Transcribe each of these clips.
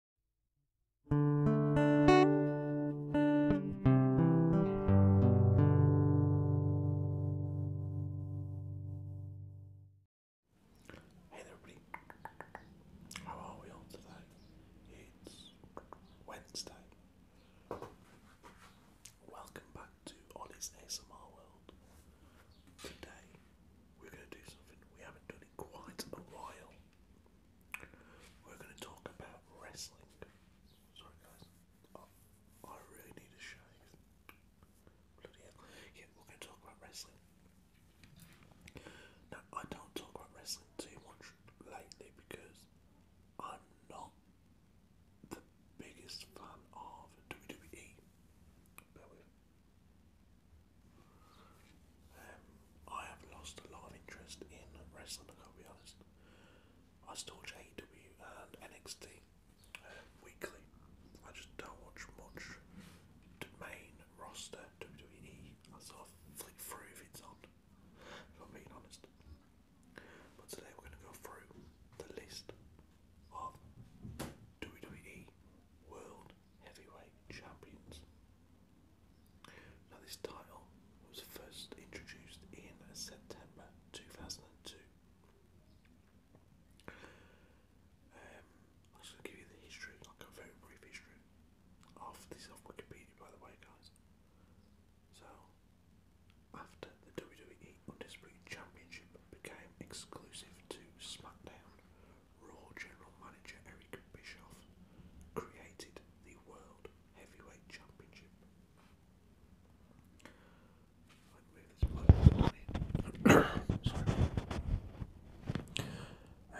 Hey everybody. How are we all today? It's Wednesday. Welcome back to Ollie's ASMR World. Today, we're going to do something we haven't done in quite a while we're going to talk about wrestling. Sorry, guys. I really need a shave. Bloody hell. Yeah, we're going to talk about wrestling. Now, I don't talk about wrestling too much lately because I'm not the biggest fan of WWE. Um, I have lost a lot of interest in wrestling, I can't be honest. I still watch AEW and NXT uh, weekly. I just don't watch much main roster, WWE. I sort of flick through if it's on, if I'm being honest. But today we're going to go through the list of WWE World Heavyweight Champions. Now, this title was first introduced in September 2002. I'm um, just going to give you the history, like a very brief history. Half this off Wikipedia, by the way, guys. So, after the WWE Undisputed Championship became exclusive to SmackDown Raw General Manager Eric Bischoff created the World Heavyweight Championship.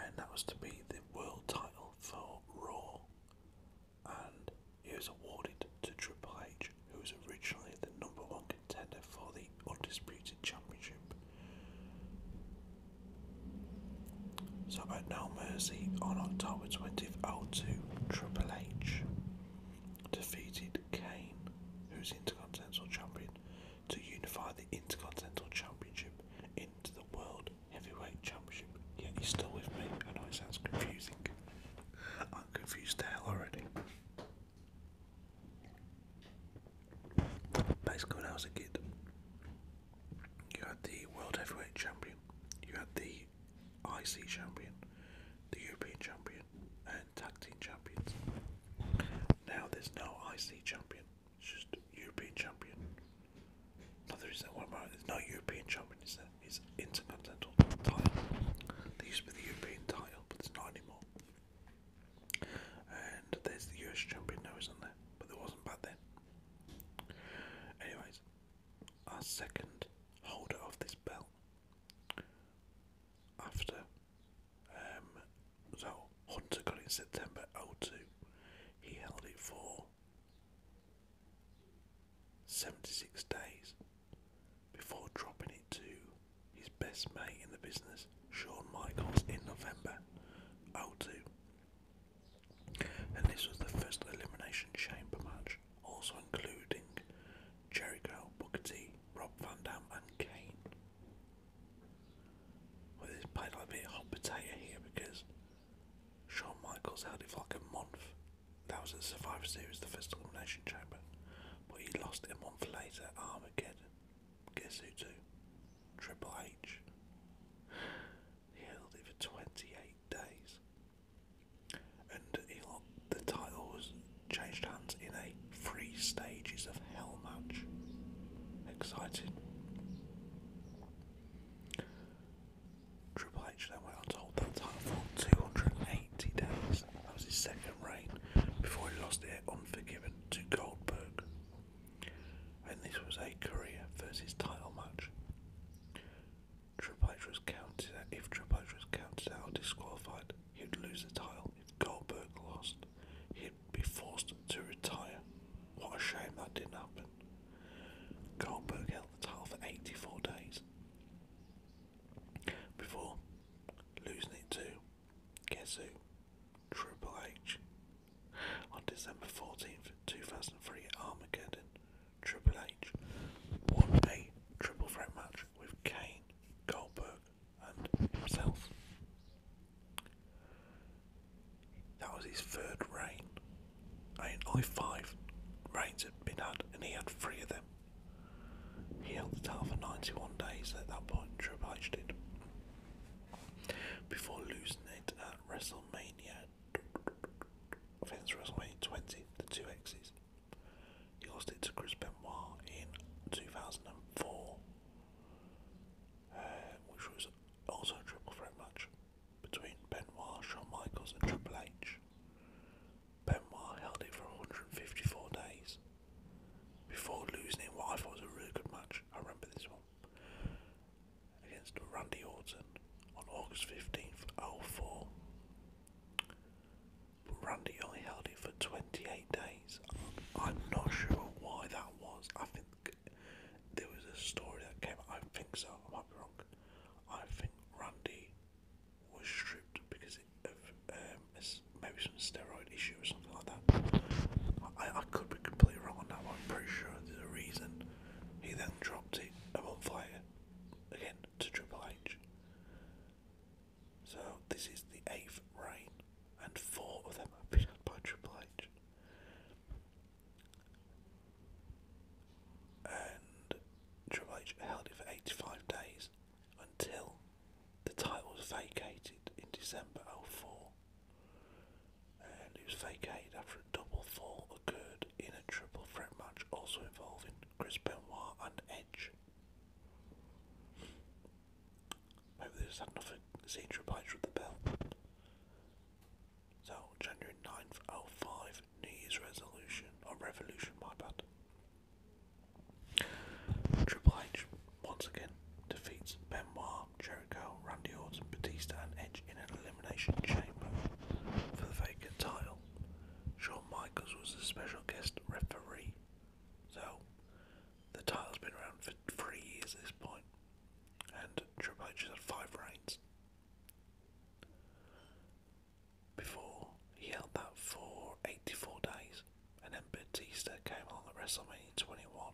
And that was to be the world title for Raw, and it was awarded to Triple H, who was originally the number one contender for the Undisputed Championship. So at No Mercy on October 20th, 02, Triple H defeated Kane, who's Intercontinental Champion, to unify the Intercontinental Championship into the World Heavyweight Championship. Yeah, he's still with me. I know it sounds confusing. I'm confused the hell already. Basically, I was a kid, you had the World Heavyweight Champion, you had the IC Champion, the European Champion, and Tag Team Champions. Now there's no IC Champion, it's just European Champion. No, there isn't there's no European Champion, is there? It's Intercontinental Title. There used to be the European title, but it's not anymore. And there's the US Champion now, isn't there? But there wasn't back then. Anyways, our second holder of this belt after um, so Hunter got in September 02, he held it for 76 days before dropping it to his best mate in the business, Shawn Michaels, in November 02 and this was the first Elimination Chamber match, also including Jericho, Booker T, Rob Van Dam, and Kane. Well, this played like a bit hot potato here because Shawn Michaels held it for like a month. That was at Survivor Series, the first Elimination Chamber, but he lost a month later Armageddon. Guess Triple H. He held it for 28 days. And he, the title was changed hands in a three stages of hell match. Exciting. Triple H then went on to hold that title for 280 days. That was his second reign before he lost it at Unforgiven to Goldberg and this was a career versus title match. Triple H was counted out. If Triple H was counted out or disqualified, he'd lose the title. If Goldberg lost, he'd be forced to retire. What a shame that didn't happen. Goldberg held the title for 84 days before losing it to guess Triple H On December 14th, 2003, Armageddon, Triple H won a triple threat match with Kane, Goldberg, and himself. That was his third reign. I mean, only five reigns had been had, and he had three of them. He held the title for 91 days at that point, Triple H did, before losing it at WrestleMania I WrestleMania 20, the two X's. He lost it to Chris Benoit in 2004, uh, which was also a triple threat match between Benoit, Shawn Michaels, and Triple H. Benoit held it for 154 days before losing in what I thought was a really good match. I remember this one against Randy Orton on August 15th, 04. But Randy only held it for 28 days. I'm not sure why that was. I think there was a story that came out. I think so. I might be wrong. I think Randy was stripped because of um, maybe some steroid issue or something like that. I, I could be completely wrong on that, I'm pretty sure there's a reason he then dropped it a month later, again to Triple H. So this is the eighth reign, and four of them have been had by Triple H. And Triple H held it for 85 days until the title was vacated in December 04 and he was vacated after a double fall occurred in a triple threat match also involving Chris Benoit and Edge. Maybe they just had enough with the belt. So, January 9th, 05, New Year's resolution, or revolution, my bad. Triple H once again defeats Benoit Guevara, Jericho, Randy Orton, Batista, and Edge in an Elimination Chamber for the vacant title. Shawn Michaels was the special guest referee. So, the title's been around for three years at this point, and Triple H has had five reigns. Before, he held that for 84 days, and then Batista came along at WrestleMania 21,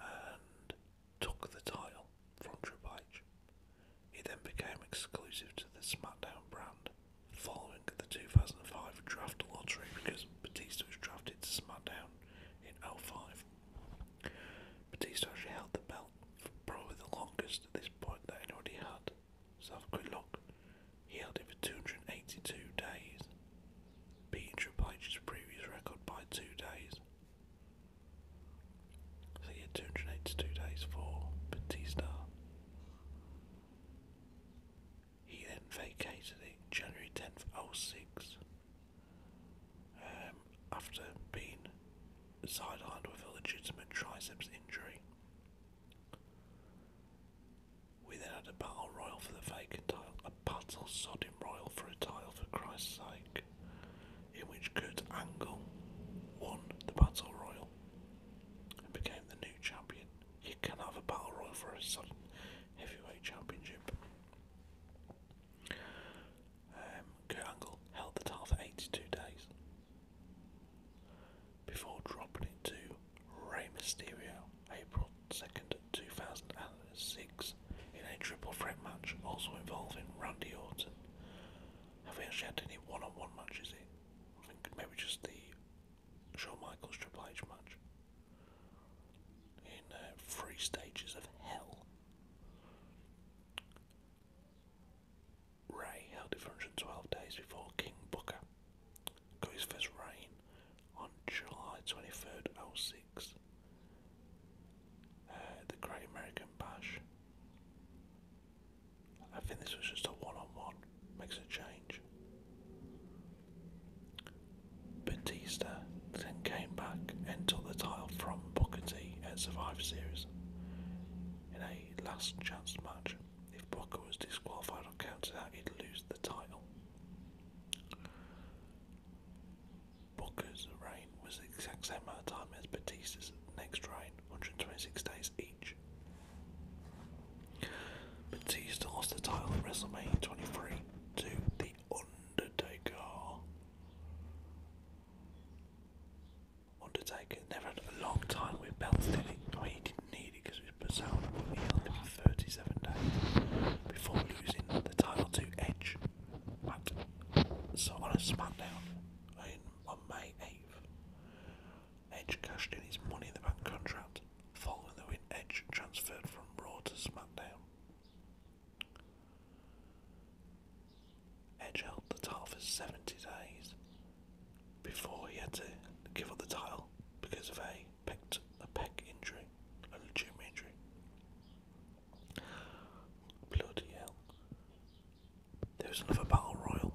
and took the title from Triple H. It then became exclusive to the SmackDown brand following the 2005 draft lottery because Batista was drafted to SmackDown in 05. Batista actually held the belt for probably the longest at this point that anybody had. So have a quick He held it for 282 days, beating Triple H's previous record by two days. So yeah, 282 days for Batista. He then vacated it January 10th, 06, um, after being sidelined with a legitimate triceps injury. We then had a battle royal for the vacant title, a battle sodding royal for a title for Christ's sake in which Kurt Angle won the Battle Royal and became the new champion. You can have a Battle Royal for a sudden heavyweight championship. Um, Kurt Angle held the title for 82 days before dropping it to Rey Mysterio April 2nd, 2009 six in a triple threat match, also involving Randy Orton. Have we actually had any one-on-one matches in? maybe just the Shawn Michaels Triple H match in uh, three stages of hell. Ray held it for 112 days before King Booker got his first reign on July 23rd, 06. Uh, the Great American Bash. I think this was just a one-on-one. -on -one. Makes a change. Batista then came back and took the title from Booker T at Survivor Series in a last chance match. If Booker was disqualified or counted out, he'd lose the title. Booker's reign was the exact same amount of time as Batista's next reign, 126 days each. Batista lost the title at WrestleMania 23 to The Undertaker. Undertaker never had a long time with belts, did he? No, he didn't need it because he was sound, but he held it for 37 days before losing the title to Edge at, so on a SmackDown on May 8th, Edge cashed in his Money in the Bank contract following the win Edge transferred from Raw to SmackDown. Edge held the title for 70 days before he had to give up the title because of a, pect, a pec injury, a legitimate injury. Bloody hell. There's another battle royal.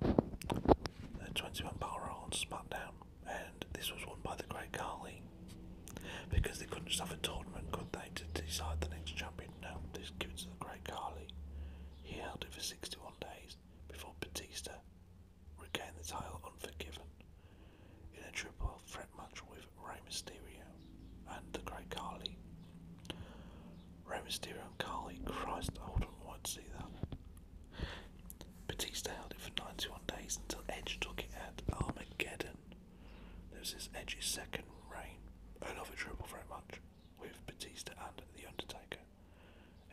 A twenty-one man battle royal on SmackDown. And this was won by the Great Carly. Because they couldn't just a tournament, could they, to decide the next champion? No, this gives it to the Great Carly. He held it for 61 days before Batista regained the title unforgiven in a triple threat match with Rey Mysterio and the Great Carly. Rey Mysterio and Carly, Christ, I wouldn't want to see that. Batista held it for 91 days until Edge took it at Armageddon. There was this Edge's second reign, I love another triple very much with Batista and The Undertaker.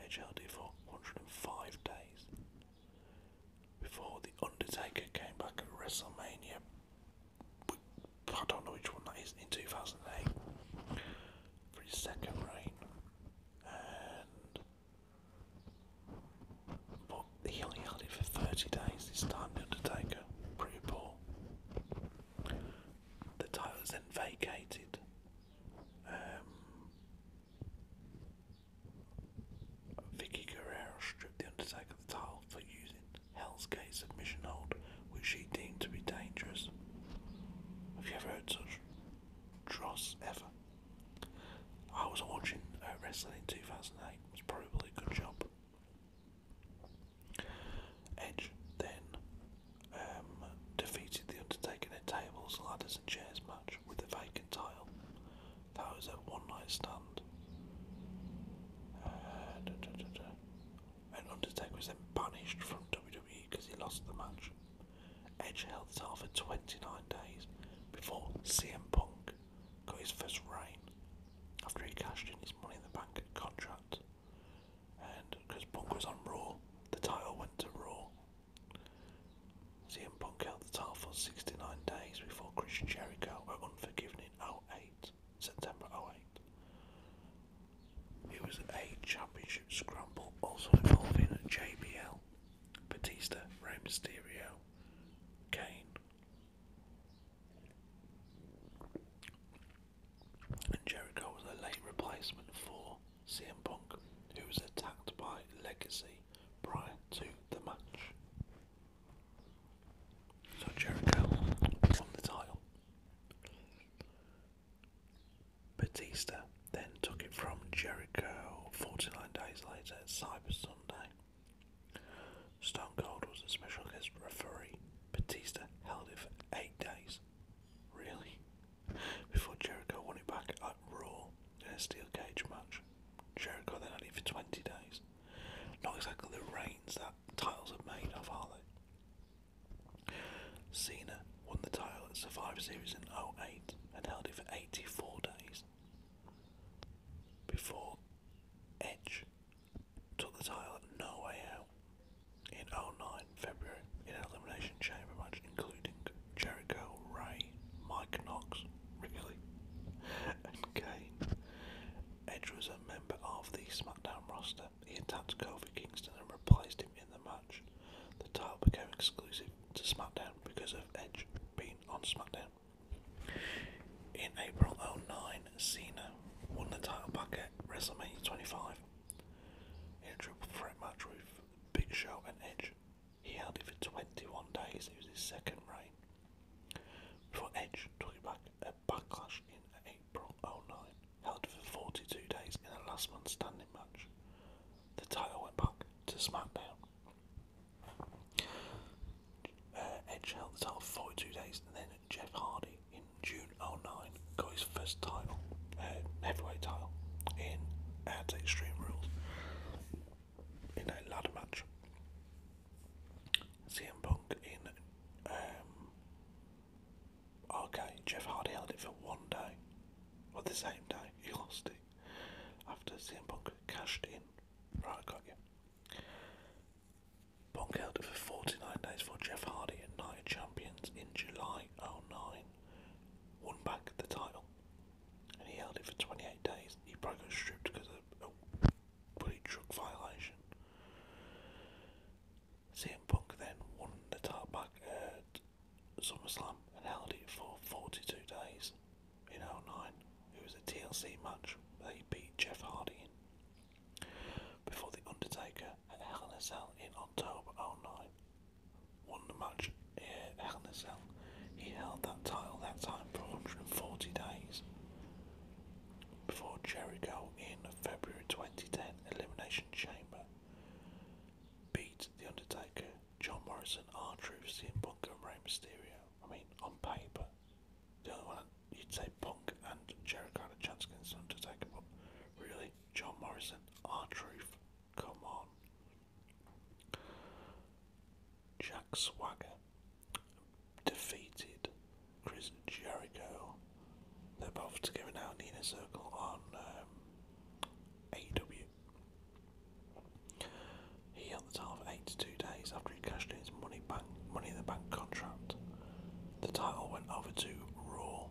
Edge held it for 105 days before The Undertaker came back at WrestleMania I don't know which one that is, in 2008 for his second reign. And but he only had it for 30 days this time, The Undertaker. Pretty poor. The title was then vacated. Um, Vicky Guerrero stripped The Undertaker the title for using Hell's Gate submission hold, which she deemed to be dangerous. Have you ever heard such dross ever? I was watching uh, wrestling in 2008, it was probably a good job. Edge then um, defeated The Undertaker in a tables, ladders, and chairs match with the vacant title. That was a one night stand. Uh, and Undertaker was then punished from WWE because he lost the match. Edge held the title for 29 days before CM Punk got his first reign after he cashed in his Money in the Bank contract. And because Punk was on Raw, the title went to Raw. CM Punk held the title for 69 days before Chris Jericho were Unforgiven in 08. September 08. It was a championship scramble also involving JBL, Batista, Rey Mysterio, Kane. And Jericho was a late replacement for CM Punk, who was attacked by Legacy prior to the match. So Jericho won the title. Batista then took it from Jericho 49 days later at Cyber Sunday. Stone Cold was a special guest referee. Batista held it for eight days. Really? Before Jericho won it back at Raw in a steel cage match. Jericho then had it for 20 days. Not exactly the reigns that titles are made of, are they? Cena won the title at Survivor Series in 08 and held it for 84 days before Edge took the title at No Way Out in 09 February in an Elimination Chamber match including Jericho, Ray, Mike Knox, Wrigley, and Kane. Edge was a member of the SmackDown roster. He attacked Kofi Kingston and replaced him in the match. The title became exclusive to SmackDown because of Edge being on SmackDown. In April 09, Cena won the title back at WrestleMania 25 in a triple threat match with Big Show and Edge. He held it for 21 days, it was his second reign. Before Edge took it back Backlash in April 09, held for 42 days in a last man standing match. The title went back to SmackDown. Uh, Edge held the title for 42 days, and then Jeff Hardy in June 09 got his first title, uh, heavyweight title, in at Extreme Rules in a ladder match. CM Punk in um, Okay, Jeff Hardy held it for one day. Or the same day, he lost it. After CM Punk cashed in. Right, I got you. Punk held it for 49 days for Jeff Hardy and Night Champions in July 09. Won back the title. And he held it for 28 days. He broke and stripped because of a bully truck violation. CM Punk then won the title back at SummerSlam and held it for 42 days in 09. It was a TLC match They beat Jeff Hardy in. Before The Undertaker and Hell in a Cell in October 09. Won the match at Hell in a Cell. He held that title that time for 140 days before Jericho in February 2010 Elimination Chamber. Beat The Undertaker, John Morrison, R Truth, CM Punk, and Rey Mysterio. I mean, on paper, the only one you'd say Punk and Jericho had a chance against Undertaker, but really, John Morrison, R come on. Jack Swagger defeated Chris Jericho. They're both together out in the circle on um, AEW. He held the title for eight to two days after he cashed in his money bank money in the bank contract. The title went over to Raw.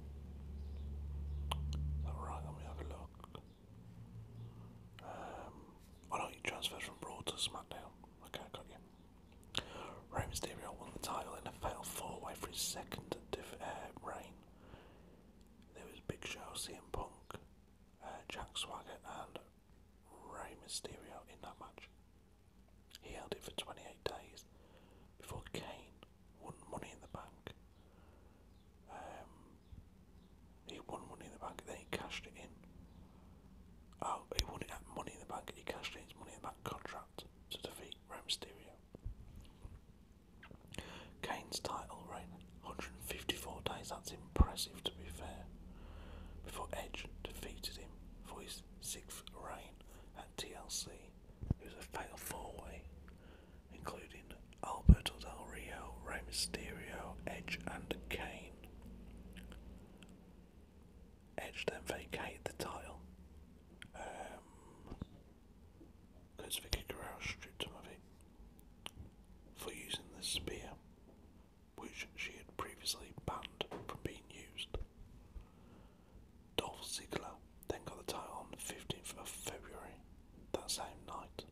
Is that right? Let me have a look. Um, oh no, you transferred from Raw to SmackDown. Okay, I got you. Rey Mysterio won the title in a failed four way for his second uh, reign. There was Big Show, CM Punk, uh, Jack Swagger, and Rey Mysterio in that match. He held it for 28 days before Kane won Money in the Bank. Um, he won Money in the Bank, then he cashed it in. Oh, he won it at Money in the Bank, he cashed in his Money in the Bank contract to defeat Rey Mysterio. Kane's title reign, 154 days, that's impressive to be fair, before Edge defeated him for his sixth reign at TLC. It was a fatal four-way, including Alberto Del Rio, Rey Mysterio, Edge and Kane. Edge then vacated the title um, Vicky Guerrero stripped him of it for using the spear, which she had previously banned from being used. Dolph Ziggler then got the title on the 15th of February that same night,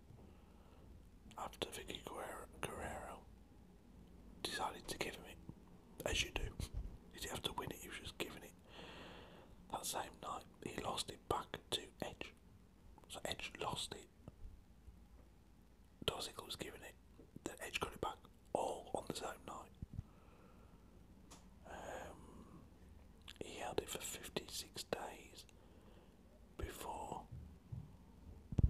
after Vicky Guerrero decided to give him it as you do. He didn't have to win it, he was just giving it. That same night, he lost it back to Edge. So Edge lost it. Dozick was giving it. the Edge got it back all on the same night. Um, he held it for 56 days before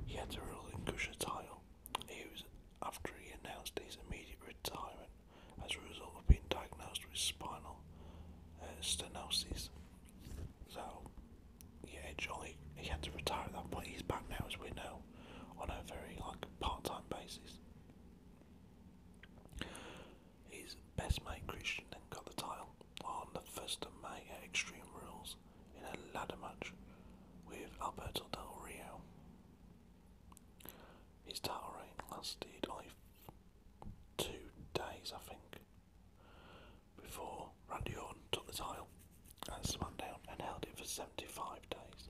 he had to relinquish in title. He was after he announced his immediate retirement as a result of being diagnosed with spinal uh, stenosis. So, yeah, Johnny, he had to retire at that point. He's back now, as we know, on a very like part-time basis. His best mate Christian then got the title on the first of May at Extreme Rules in a ladder match with Alberto Del Rio. His title reign lasted only two days, I think, before Randy Orton took the title and at down and held it for 75 days.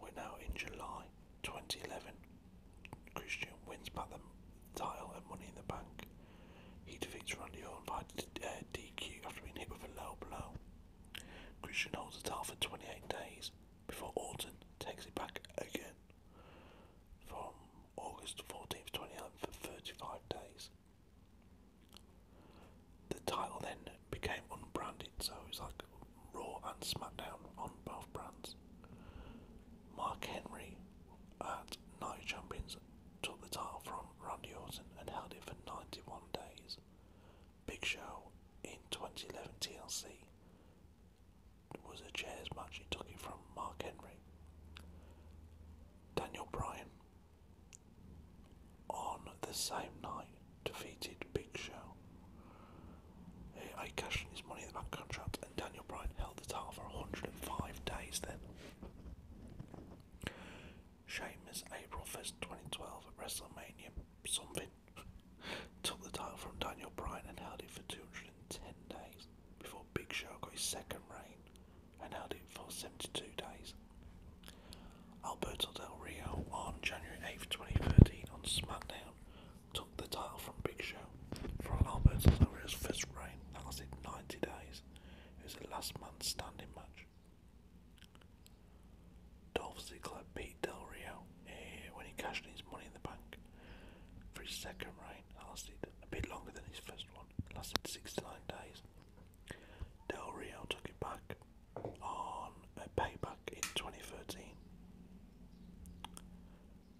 We're now in July 2011. Christian wins back the title and Money in the Bank. He defeats Randy Orton by DQ uh, after being hit with a low blow. Christian holds the title for 28 days before Orton takes it back again from August 14th to 29th for 35 days. The title then became unbranded, so it was like Raw and SmackDown on both brands. Mark Henry at Night Champions took the title from Randy Orton and held it for 91 days Big Show in 2011 TLC was a chairs match. He took it from Mark Henry. Daniel Bryan on the same night defeated Big Show. He cashed in his money in the bank contract, and Daniel Bryan held the title for 105 days. Then, Sheamus, April 1st, 2012 at WrestleMania, something took the title from Daniel Bryan and held it for 210 days before Big Show got his second reign and held it for 72 days. Alberto Del Rio on January 8th, 2013 on SmackDown took the title from Big Show from Alberto Del Rio's first reign that lasted 90 days. It was a last man standing match. Dolph Club beat Del Rio eh, when he cashed his money in the bank for his second reign. lasted a bit longer than his first one. It lasted 69 days. Del Rio took it back on a payback in 2013.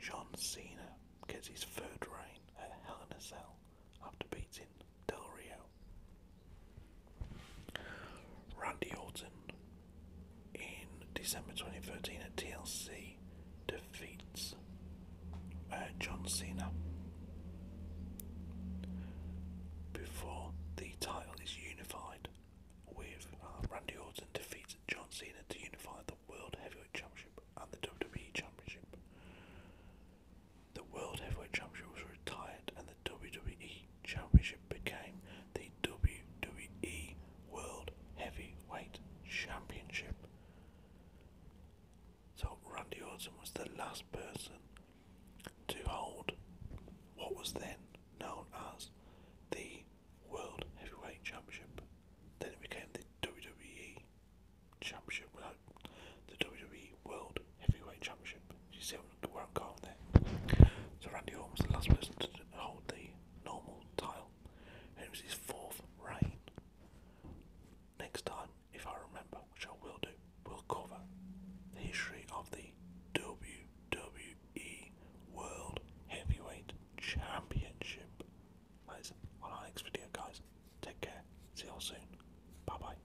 John Cena gets his third reign at Hell in a Cell after beating Del Rio. Randy Orton in December 2013 at TLC defeats uh, John Cena before the title is unified with uh, Randy Orton defeats John Cena to unify the World Heavyweight Championship and the WWE Championship. The World Heavyweight Championship was retired and the WWE Championship became the WWE World Heavyweight Championship. So Randy Orton was the last person to hold what was then known as the World Heavyweight Championship. Then it became the WWE Championship, uh, the WWE World Heavyweight Championship. You see where I'm going there? So Randy Orton the last person to hold the normal title, and was his fourth reign. Next time, if I remember, which I will do, we'll cover the history of the WWE World Heavyweight Championship. That is on our next video, guys. Take care. See you all soon. Bye bye.